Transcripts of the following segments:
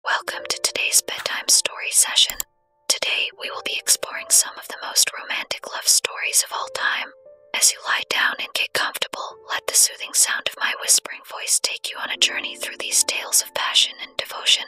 Welcome to today's bedtime story session. Today, we will be exploring some of the most romantic love stories of all time. As you lie down and get comfortable, let the soothing sound of my whispering voice take you on a journey through these tales of passion and devotion.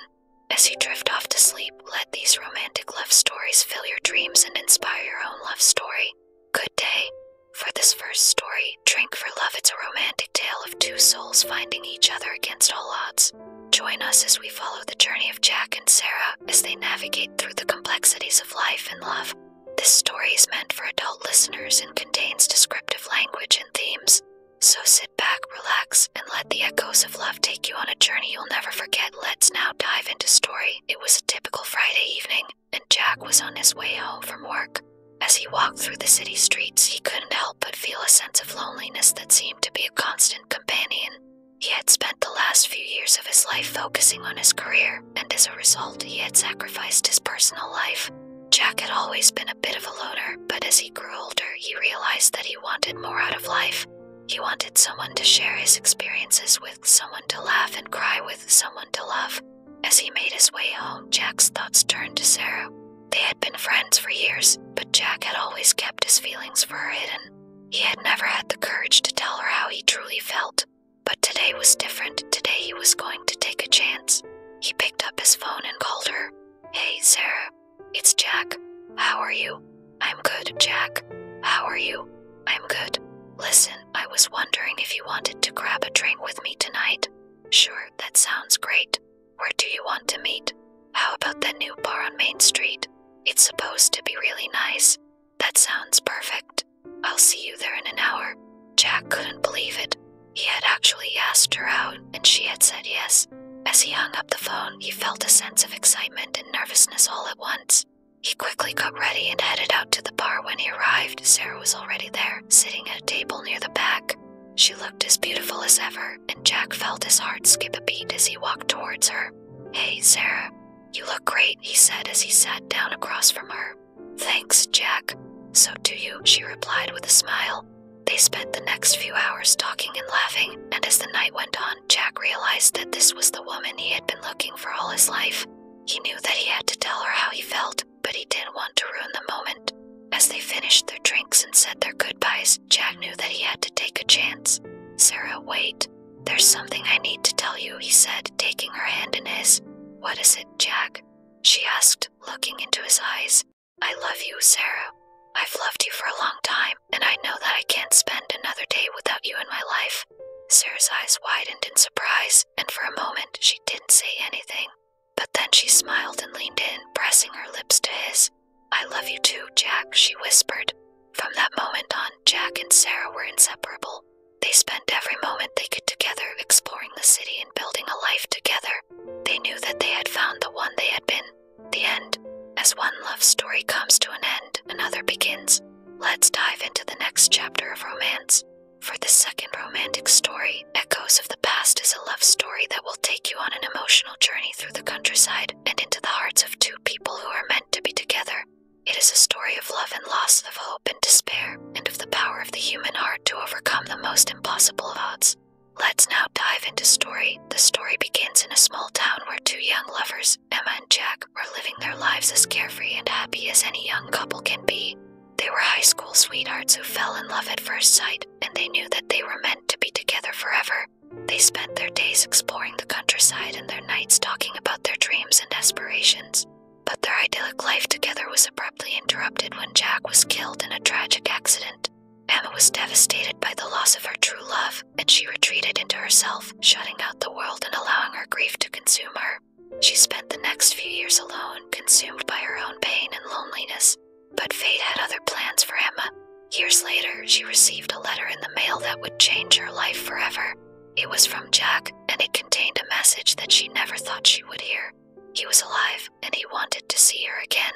As you drift off to sleep, let these romantic love stories fill your dreams and inspire your own love story. Good day. For this first story, Drink for Love, it's a romantic romantic tale of two souls finding each other against all odds. Join us as we follow the journey of Jack and Sarah as they navigate through the complexities of life and love. This story is meant for adult listeners and contains descriptive language and themes. So sit back, relax, and let the echoes of love take you on a journey you'll never forget. Let's now dive into story. It was a typical Friday evening, and Jack was on his way home from work. As he walked through the city streets, he couldn't help but feel a sense of loneliness that seemed to be a constant companion. He had spent the last few years of his life focusing on his career, and as a result, he had sacrificed his personal life. Jack had always been a bit of a loner, but as he grew older, he realized that he wanted more out of life. He wanted someone to share his experiences with, someone to laugh and cry with, someone to love. As he made his way home, Jack's thoughts turned to Sarah. They had been friends for years, but Jack had always kept his feelings for her hidden. He had never had the courage to tell her how he truly felt, but today was different. Today he was going to take a chance. He picked up his phone and called her. Hey, Sarah, it's Jack. How are you? I'm good, Jack. How are you? I'm good. Listen, I was wondering if you wanted to grab a drink with me tonight. Sure, that sounds great. Where do you want to meet? How about that new bar on Main Street? It's supposed to be really nice. That sounds perfect. I'll see you there in an hour. Jack couldn't believe it. He had actually asked her out, and she had said yes. As he hung up the phone, he felt a sense of excitement and nervousness all at once. He quickly got ready and headed out to the bar. When he arrived, Sarah was already there, sitting at a table near the back. She looked as beautiful as ever, and Jack felt his heart skip a beat as he walked towards her. Hey, Sarah, you look great, he said as he sat down across from her. Thanks, Jack. So do you, she replied with a smile. They spent the next few hours talking and laughing, and as the night went on, Jack realized that this was the woman he had been looking for all his life. He knew that he had to tell her how he felt, but he didn't want to ruin the moment. As they finished their drinks and said their goodbyes, Jack knew that he had to take a chance. Sarah, wait. There's something I need to tell you, he said, taking her hand in his. What is it, Jack? She asked, looking into his eyes. I love you, Sarah. I've loved you for a long time, and I know that I can't spend another day without you in my life. Sarah's eyes widened in surprise, and for a moment she didn't say anything. But then she smiled and leaned in, pressing her lips to his. I love you too, Jack, she whispered. From that moment on, Jack and Sarah were inseparable. They spent every moment they could together exploring the city and building a life together. They knew that they had found the one they had been. The end. As one love story comes to an end, another begins. Let's dive into the next chapter of romance. For the second romantic story, Echoes of the Past is a love story that will take you on an emotional journey through the countryside and into the hearts of two people who are meant to be together. It is a story of love and loss, of hope and despair, and of the power of the human heart to overcome the most impossible odds. Let's now dive into story. The story begins in a small town where two young lovers, Emma and Jack, are living their lives as carefree and happy as any young couple can be. They were high school sweethearts who fell in love at first sight, and they knew that they were meant to be together forever. They spent their days exploring the countryside and their nights talking about their dreams and aspirations. But their idyllic life together was abruptly interrupted when Jack was killed in a tragic accident. Emma was devastated by the loss of her true love, and she retreated into herself, shutting out the world and allowing her grief to consume her. She spent the next few years alone, consumed by her own pain and loneliness. But fate had other plans for Emma. Years later, she received a letter in the mail that would change her life forever. It was from Jack, and it contained a message that she never thought she would hear. He was alive, and he wanted to see her again.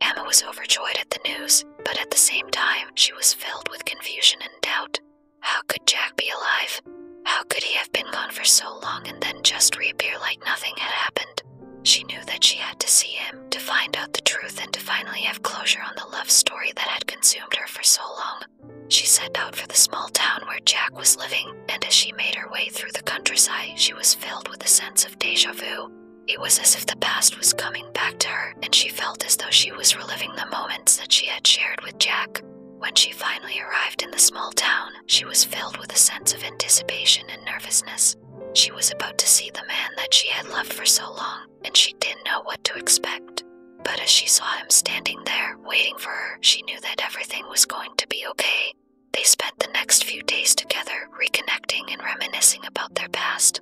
Emma was overjoyed at the news, but at the same time, she was filled with confusion and doubt. How could Jack be alive? How could he have been gone for so long and then just reappear like nothing had happened? She knew that she had to see him, to find out the truth, and to finally have closure on the love story that had consumed her for so long. She set out for the small town where Jack was living, and as she made her way through the countryside, she was filled with a sense of deja vu. It was as if the past was coming back to her, and she felt as though she was reliving the moments that she had shared with Jack. When she finally arrived in the small town, she was filled with a sense of anticipation and nervousness. She was about to see the man that she had loved for so long, and she didn't know what to expect. But as she saw him standing there, waiting for her, she knew that everything was going to be okay. They spent the next few days together, reconnecting and reminiscing about their past.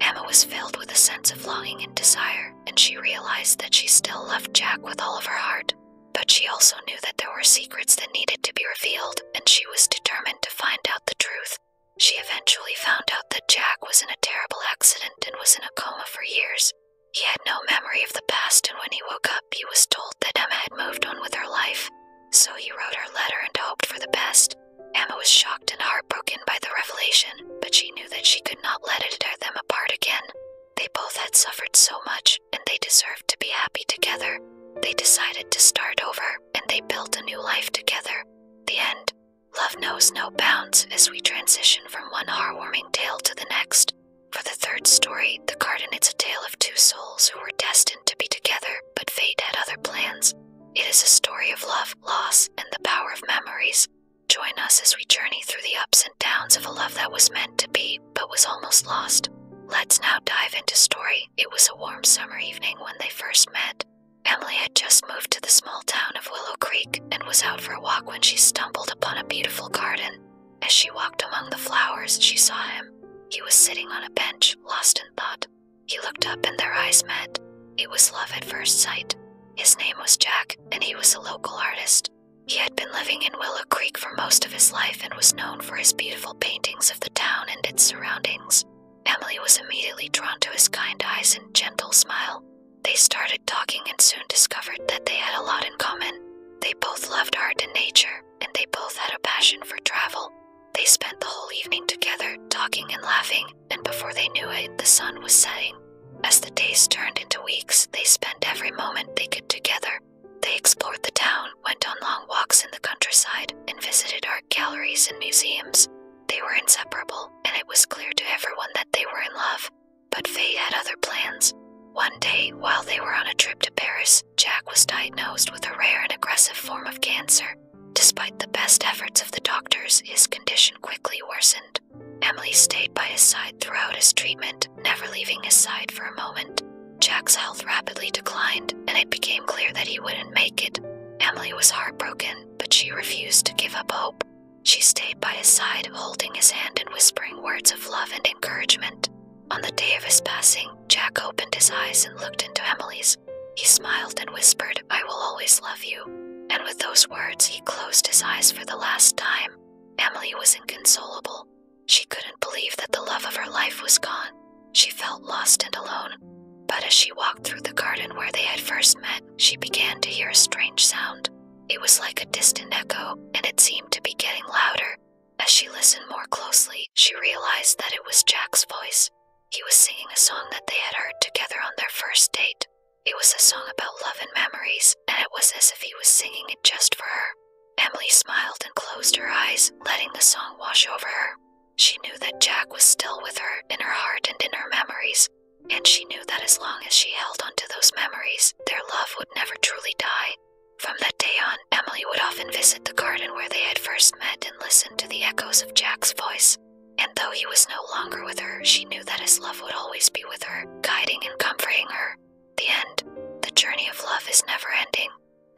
Emma was filled with a sense of longing and desire, and she realized that she still loved Jack with all of her heart. But she also knew that there were secrets that needed to be revealed, and she was determined to find out the truth. She eventually found out that Jack was in a terrible accident and was in a coma for years. He had no memory of the past, and when he woke up, he was told that Emma had moved on with her life. So he wrote her letter and hoped for the best. Emma was shocked and heartbroken by the revelation, but she knew that she could not let it tear them apart again. They both had suffered so much and they deserved to be happy together. They decided to start over and they built a new life together. The end. Love knows no bounds as we transition from one heartwarming tale to the next. For the third story, The Garden, it's a tale of two souls who were destined to be together, but fate had other plans. It is a story of love, loss, and the power of memories. Join us as we journey through the ups and downs of a love that was meant to be but was almost lost. Let's now dive into story. It was a warm summer evening when they first met. Emily had just moved to the small town of Willow Creek and was out for a walk when she stumbled upon a beautiful garden. As she walked among the flowers, she saw him. He was sitting on a bench, lost in thought. He looked up and their eyes met. It was love at first sight. His name was Jack, and he was a local artist. He had been living in Willow Creek for most of his life and was known for his beautiful paintings of the town and its surroundings. Emily was immediately drawn to his kind eyes and gentle smile. They started talking and soon discovered that they had a lot in common. They both loved art and nature, and they both had a passion for travel. They spent the whole evening together, talking and laughing, and before they knew it, the sun was setting. As the days turned into weeks, they spent every moment they could together. They explored the town, went on long walks in the countryside, and visited art galleries and museums. They were inseparable, and it was clear to everyone that they were in love. But Faye had other plans. One day, while they were on a trip to Paris, Jack was diagnosed with a rare and aggressive form of cancer. Despite the best efforts of the doctors, his condition quickly worsened. Emily stayed by his side throughout his treatment, never leaving his side for a moment. Jack's health rapidly declined, and it became clear that he wouldn't make it. Emily was heartbroken, but she refused to give up hope. She stayed by his side, holding his hand and whispering words of love and encouragement. On the day of his passing, Jack opened his eyes and looked into Emily's. He smiled and whispered, I will always love you. And with those words, he closed his eyes for the last time. Emily was inconsolable. She couldn't believe that the love of her life was gone. She felt lost and alone. But as she walked through the garden where they had first met, she began to hear a strange sound. It was like a distant echo, and it seemed to be getting louder. As she listened more closely, she realized that it was Jack's voice. He was singing a song that they had heard together on their first date. It was a song about love and memories, and it was as if he was singing it just for her. Emily smiled and closed her eyes, letting the song wash over her. She knew that Jack was still with her in her heart and in her memories, and she knew that as long as she held on to those memories, their love would never truly die. From that day on, Emily would often visit the garden where they had first met and listen to the echoes of Jack's voice. And though he was no longer with her, she knew that his love would always be with her, guiding and comforting her. The end. The journey of love is never ending.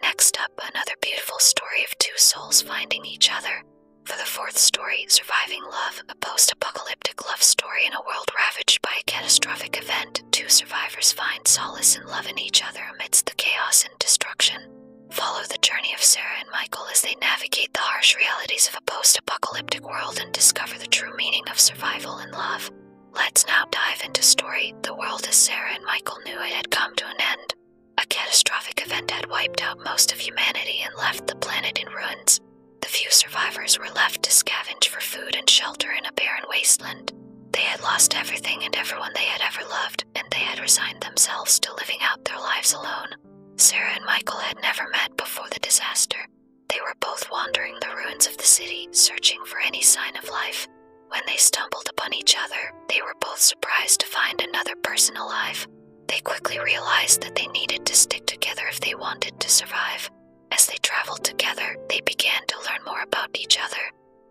Next up, another beautiful story of two souls finding each other. For the fourth story, Surviving Love, a post apocalyptic love story in a world ravaged by a catastrophic event, two survivors find solace and love in each other amidst the chaos and destruction. Follow the journey of Sarah and Michael as they navigate the harsh realities of a post apocalyptic world and discover the true meaning of survival and love. Let's now dive into story The World as Sarah and Michael knew it had come to an end. A catastrophic event had wiped out most of humanity and left the planet in ruins. The few survivors were left to scavenge for food and shelter in a barren wasteland. They had lost everything and everyone they had ever loved, and they had resigned themselves to living out their lives alone. Sarah and Michael had never met before the disaster, they were both wandering the ruins of the city, searching for any sign of life. When they stumbled upon each other, they were both surprised to find another person alive. They quickly realized that they needed to stick together if they wanted to survive. As they traveled together, they began to learn more about each other.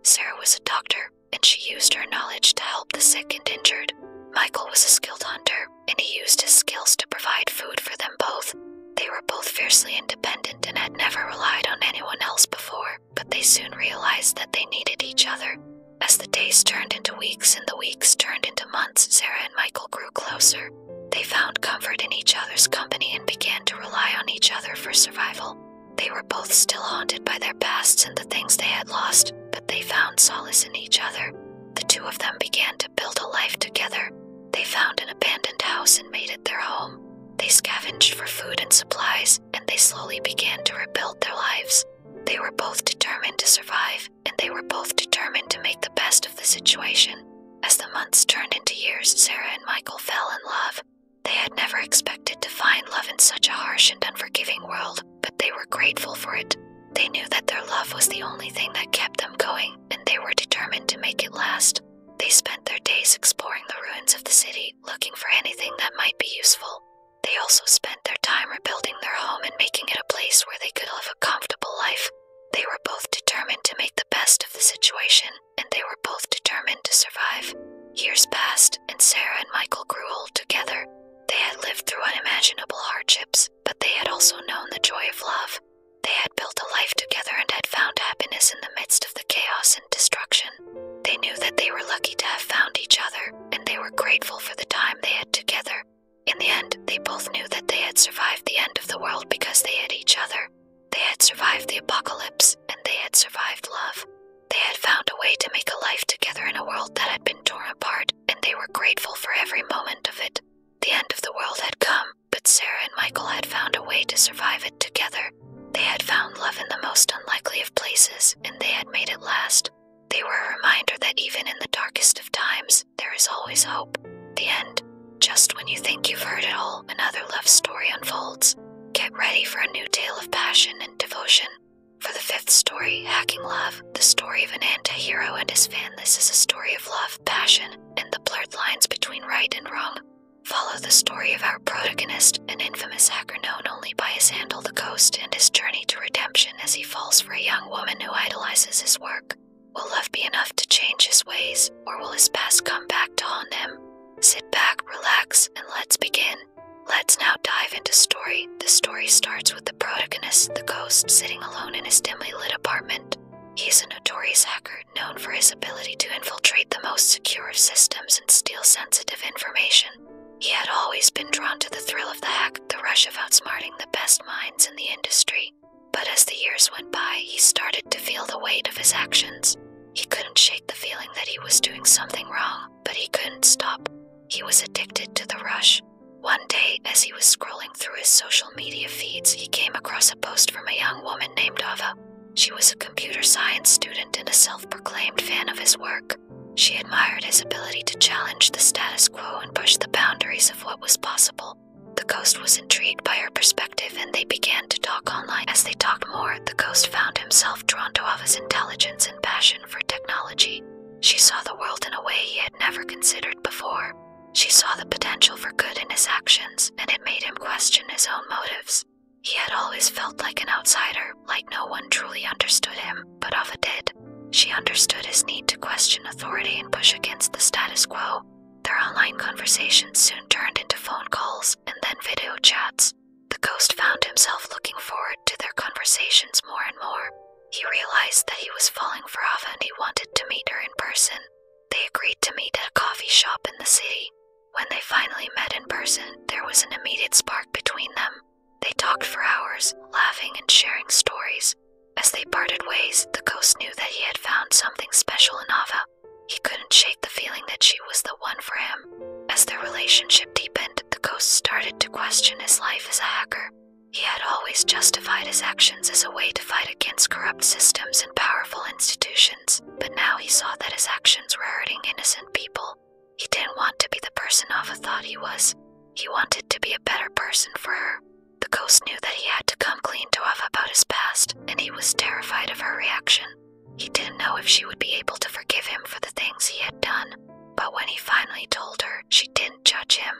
Sarah was a doctor, and she used her knowledge to help the sick and injured. Michael was a skilled hunter, and he used his skills to provide food for them both. They were both fiercely independent and had never relied on anyone else before, but they soon realized that they needed each other. As the days turned into weeks and the weeks turned into months, Sarah and Michael grew closer. They found comfort in each other's company and began to rely on each other for survival. They were both still haunted by their pasts and the things they had lost, but they found solace in each other. The two of them began to build a life together. They found an abandoned house and made it their home. They scavenged for food and supplies, and they slowly began to rebuild their lives. They were both determined to survive, and they were both determined to make the best of the situation. As the months turned into years, Sarah and Michael fell in love. They had never expected to find love in such a harsh and unforgiving world, but they were grateful for it. They knew that their love was the only thing that kept them going, and they were determined to make it last. They spent their days exploring the ruins of the city, looking for anything that might be useful. They also spent their time rebuilding their home and making it a place where they could live a comfortable life. They were both determined to make the best of the situation, and they were both determined to survive. Years passed, and Sarah and Michael grew old together. They had lived through unimaginable hardships, but they had also known the joy of love. They had built a life together and had found happiness in the midst of the chaos and destruction. They knew that they were lucky to have found each other, and they were grateful for the time they had together. In the end, they both knew that they had survived the end of the world because they had each other. They had survived the apocalypse, and they had survived love. They had found a way to make a life together in a world that had been torn apart, and they were grateful for every moment of it. The end of the world had come, but Sarah and Michael had found a way to survive it together. They had found love in the most unlikely of places, and they had made it last. They were a reminder that even in the darkest of times, there is always hope. The end. Just when you think you've heard it all, another love story unfolds. Get ready for a new tale of passion and devotion. For the fifth story, Hacking Love, the story of an anti-hero and his fan. This is a story of love, passion, and the blurred lines between right and wrong. Follow the story of our protagonist, an infamous hacker known only by his handle The Ghost, and his journey to redemption as he falls for a young woman who idolizes his work. Will love be enough to change his ways, or will his past come back to haunt him? Sit back, relax, and let's begin. Let's now dive into story. The story starts with the protagonist, the ghost, sitting alone in his dimly lit apartment. He's a notorious hacker known for his ability to infiltrate the most secure systems and steal sensitive information. He had always been drawn to the thrill of the hack, the rush of outsmarting the best minds in the industry. But as the years went by, he started to feel the weight of his actions. He couldn't shake the feeling that he was doing something wrong, but he couldn't stop. He was addicted to the rush, one day, as he was scrolling through his social media feeds, he came across a post from a young woman named Ava. She was a computer science student and a self proclaimed fan of his work. She admired his ability to challenge the status quo and push the boundaries of what was possible. The ghost was intrigued by her perspective and they began to talk online. As they talked more, the ghost found himself drawn to Ava's intelligence and passion for technology. She saw the world in a way he never considered before. She saw the potential for good in his actions, and it made him question his own motives. He had always felt like an outsider, like no one truly understood him, but Ava did. She understood his need to question authority and push against the status quo. Their online conversations soon turned into phone calls and then video chats. The ghost found himself looking forward to their conversations more and more. He realized that he was falling for Ava and he wanted to meet her in person. They agreed to meet at a coffee shop in the city. When they finally met in person, there was an immediate spark between them. They talked for hours, laughing and sharing stories. As they parted ways, the ghost knew that he had found something special in Ava. He couldn't shake the feeling that she was the one for him. As their relationship deepened, the ghost started to question his life as a hacker. He had always justified his actions as a way to fight against corrupt systems and powerful institutions, but now he saw that his actions were hurting innocent people. He didn't want to be the person Ava thought he was. He wanted to be a better person for her. The ghost knew that he had to come clean to Ava about his past, and he was terrified of her reaction. He didn't know if she would be able to forgive him for the things he had done, but when he finally told her, she did not judge him.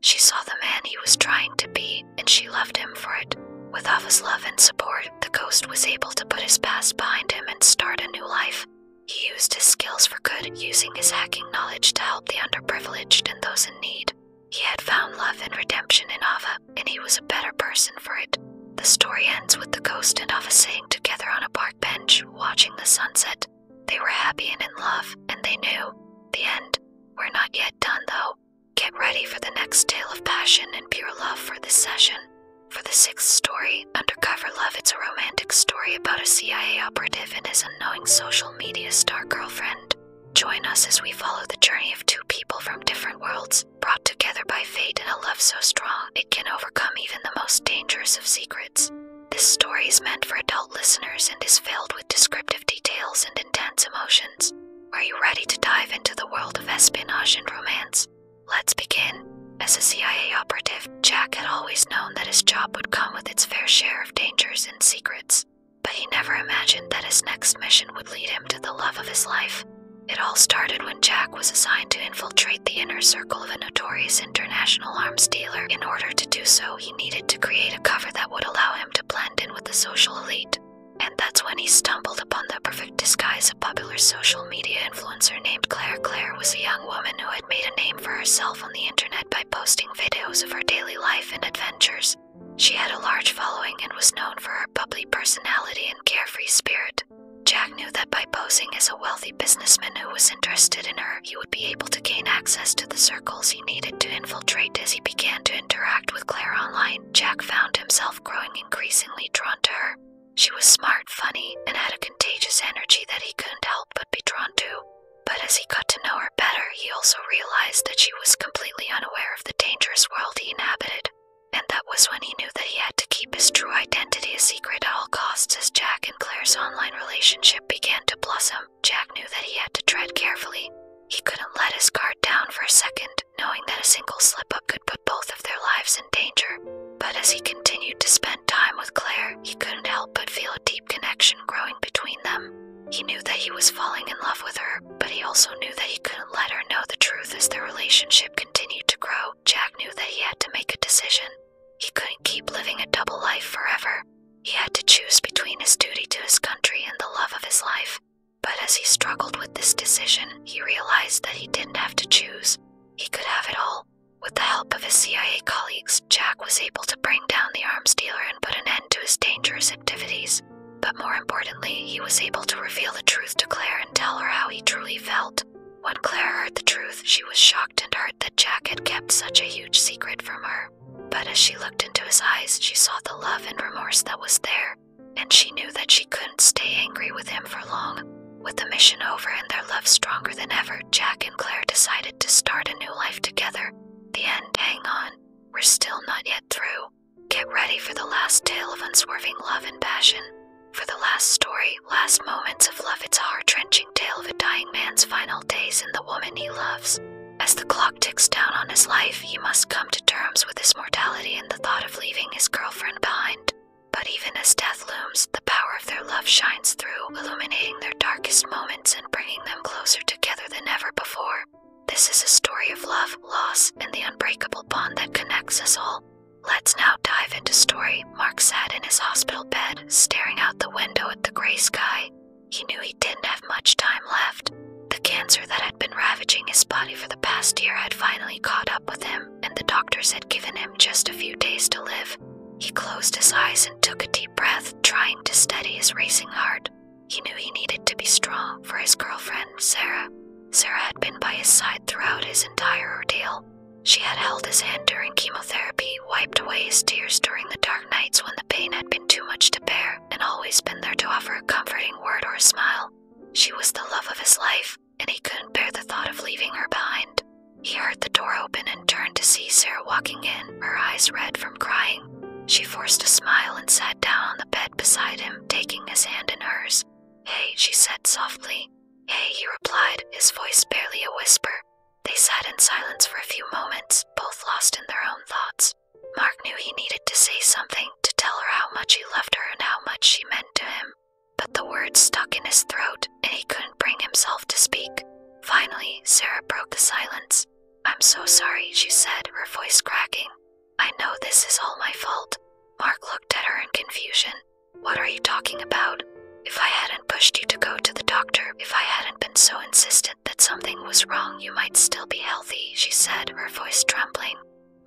She saw the man he was trying to be, and she loved him for it. With Ava's love and support, the ghost was able to put his past behind him and start a new life. He used his skills for good, using his hacking knowledge to help the underprivileged and those in need. He had found love and redemption in Ava, and he was a better person for it. The story ends with the ghost and Ava sitting together on a park bench, watching the sunset. They were happy and in love, and they knew the end. We're not yet done, though. Get ready for the next tale of passion and pure love for this session. For the sixth story, Undercover Love, it's a romantic story about a CIA operative and his unknowing social media star girlfriend. Join us as we follow the journey of two people from different worlds, brought together by fate in a love so strong it can overcome even the most dangerous of secrets. This story is meant for adult listeners and is filled with descriptive details and intense emotions. Are you ready to dive into the world of espionage and romance? Let's begin. As a CIA operative, Jack had always known that his job would come with its fair share of dangers and secrets, but he never imagined that his next mission would lead him to the love of his life. It all started when Jack was assigned to infiltrate infiltrate the inner circle of a notorious international arms dealer. In order to do so, he needed to create a cover that would allow him to blend in with the social elite. And that's when he stumbled upon the perfect disguise. A popular social media influencer named Claire Claire was a young woman who had made a name for herself on the internet by posting videos of her daily life and adventures. She had a large following and was known for her bubbly personality and carefree spirit. Jack Jack knew that by posing as a wealthy businessman who was interested in her, he would be able to gain access to the circles he needed to infiltrate as he began to interact with Claire online. Jack found himself growing increasingly drawn to her. She was smart, funny, and had a contagious energy that he couldn't help but be drawn to. But as he got to know her better, he also realized that she was completely unaware of the dangerous world he inhabited, and that was when he knew that he had to keep his true identity a secret at all costs as Jack and Claire's online relationship began to blossom. Jack knew that he had to tread carefully. He couldn't let his guard down for a second, knowing that a single slip up could put both of their lives in danger. But as he continued to spend time with Claire, he couldn't help but feel a deep connection growing between them. He knew that he was falling in love with her, but he also knew that he couldn't let her know the truth as their relationship continued to grow. Jack knew that he had to make a decision. He couldn't keep living a double life forever. He had to choose between his duty to his country and the love of his life. But as he struggled with this decision, he realized that he didn't have to choose. He could have it all. With the help of his CIA colleagues, Jack was able to bring down the arms dealer and put an end to his dangerous activities. But more importantly, he was able to reveal the truth to Claire and tell her how he truly felt. When Claire heard the truth, she was shocked and hurt that Jack had kept such a huge secret from her. But as she looked into his eyes, she saw the love and remorse that was there, and she knew that she couldn't stay angry with him for long. With the mission over and their love stronger than ever, Jack and Claire decided to start a new life together. The end, hang on. We're still not yet through. Get ready for the last tale of unswerving love and passion. For the last story, Last Moments of Love, it's a heart wrenching tale of a dying man's final days and the woman he loves. As the clock ticks down on his life, he must come to terms with his mortality and the thought of leaving his girlfriend behind. But even as death looms, the power of their love shines through, illuminating their darkest moments and bringing them closer together than ever before. This is a story of love, loss, and the unbreakable bond that connects us all. Let's now dive into story, Mark sat in his hospital bed, staring out the window at the gray sky. He knew he didn't have much time left. The cancer that had been ravaging his body for the past year had finally caught up with him, and the doctors had given him just a few days to live. He closed his eyes and took a deep breath, trying to steady his racing heart. He knew he needed to be strong for his girlfriend, Sarah. Sarah had been by his side throughout his entire ordeal, she had held his hand during chemotherapy, wiped away his tears during the dark nights when the pain had been too much to bear, and always been there to offer a comforting word or a smile. She was the love of his life, and he couldn't bear the thought of leaving her behind. He heard the door open and turned to see Sarah walking in, her eyes red from crying. She forced a smile and sat down on the bed beside him, taking his hand in hers. Hey, she said softly. Hey," he replied, his voice barely a whisper. They sat in silence for a few moments, both lost in their own thoughts. Mark knew he needed to say something to tell her how much he loved her and how much she meant to him, but the words stuck in his throat and he couldn't bring himself to speak. Finally, Sarah broke the silence. I'm so sorry, she said, her voice cracking. I know this is all my fault. Mark looked at her in confusion. What are you talking about? If I hadn't pushed you to go to the doctor, if I hadn't been so insistent that something was wrong, you might still be healthy, she said, her voice trembling.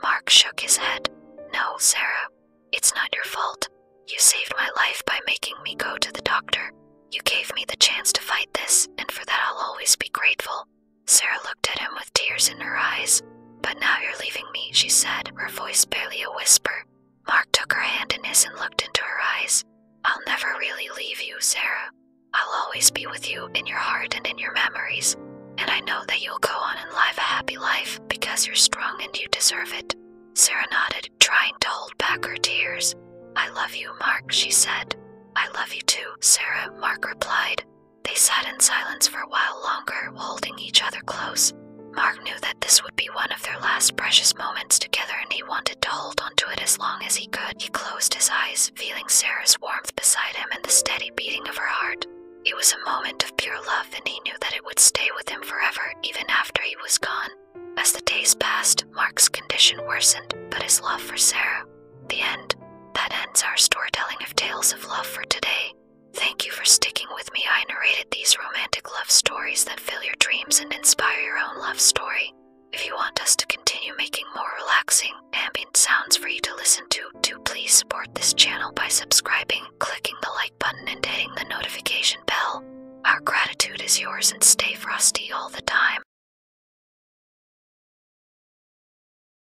Mark shook his head. No, Sarah, it's not your fault. You saved my life by making me go to the doctor. You gave me the chance to fight this, and for that I'll always be grateful. Sarah looked at him with tears in her eyes. But now you're leaving me, she said, her voice barely a whisper. Mark took her hand in his and looked into her eyes. I'll never really leave you, Sarah. I'll always be with you in your heart and in your memories, and I know that you'll go on and live a happy life because you're strong and you deserve it. Sarah nodded, trying to hold back her tears. I love you, Mark, she said. I love you too, Sarah, Mark replied. They sat in silence for a while longer, holding each other close. Mark knew that this would be one of their last precious moments together and he wanted to hold onto it as long as he could. He closed his eyes, feeling Sarah's warmth beside him and the steady beating of her heart. It was a moment of pure love and he knew that it would stay with him forever, even after he was gone. As the days passed, Mark's condition worsened, but his love for Sarah, the end, that ends our storytelling of Tales of Love for today. Thank you for sticking with me. I narrated these romantic love stories that fill your dreams and inspire your own love story. If you want us to continue making more relaxing, ambient sounds for you to listen to, do please support this channel by subscribing, clicking the like button, and hitting the notification bell. Our gratitude is yours and stay frosty all the time.